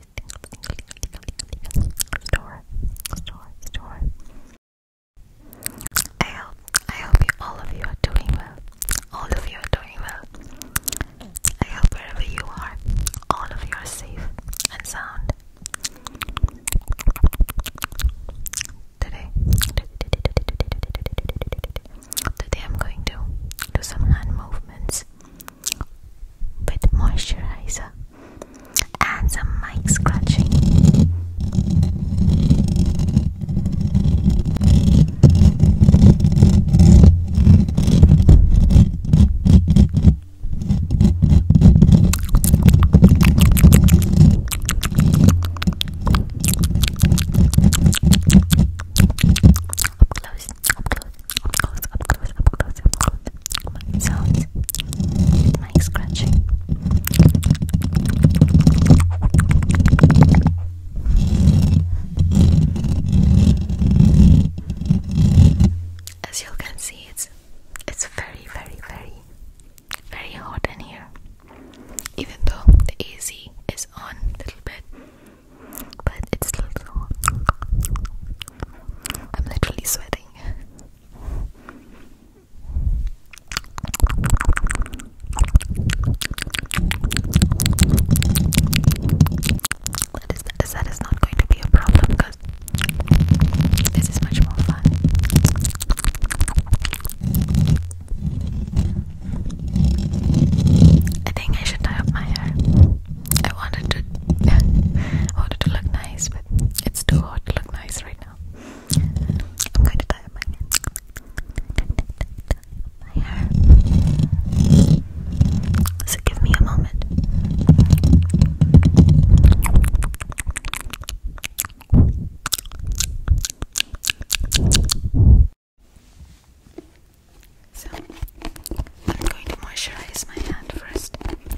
Store, store, store. I hope, I hope all of you are doing well. All of you are doing well. I hope wherever you are, all of you are safe and sound. Today, today I'm going to do some hand movements with moisturizer and some mic scratching. Up close close, up close, up close, up close, up close, up close. My sounds, my scratching. As you can see, it's it's very, very, very, very hot in here. Even though the AC is on a little bit, but it's still so hot. I'm literally sweating. That is, not going to be a problem because this is much more fun. I think I should tie up my hair. I wanted to I wanted to look nice, but it's too hot to look nice right now. I'm going to tie my hair. So give me a moment. So I'm going to moisturize my hand first.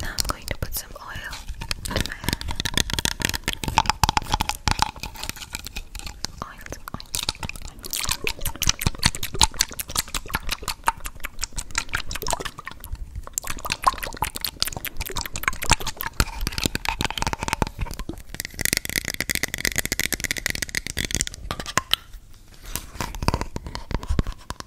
Now I'm going to put some oil on my hand.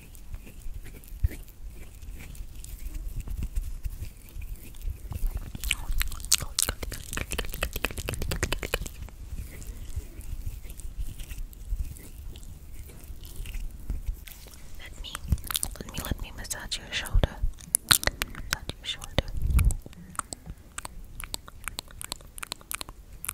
Let me, let me, let me massage your shoulder. Massage your shoulder.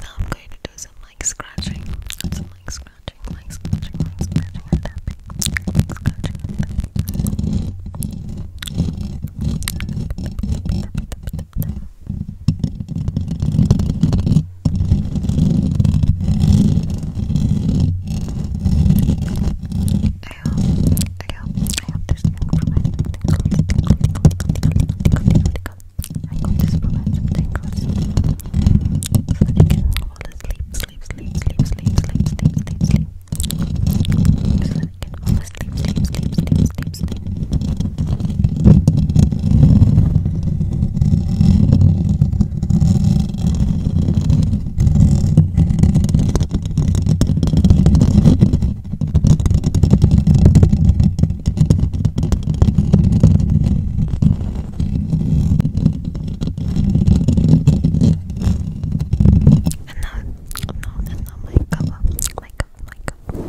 Now I'm going to do some like scratching. Some like scratching, like scratching, like scratching tapping. scratching I hope, I hope, I hope this thing I'm going to provide some tingles so that you can fall asleep, sleep, sleep, sleep, sleep, sleep, sleep, sleep, sleep. So that you can fall asleep, sleep, sleep, sleep, sleep, sleep. Thank and now, no, and now my cover, my cover, my cover, my cover.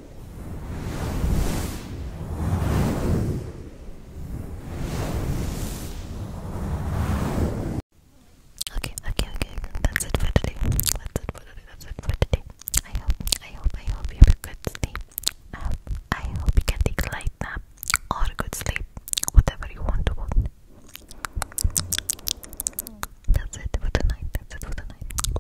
Okay, okay, okay. That's it for today. That's it for today. That's it for today. I hope, I hope, I hope you have a good sleep. Um, I hope, you can take a light nap or a good sleep, whatever you want to want. That's it for tonight. That's it for tonight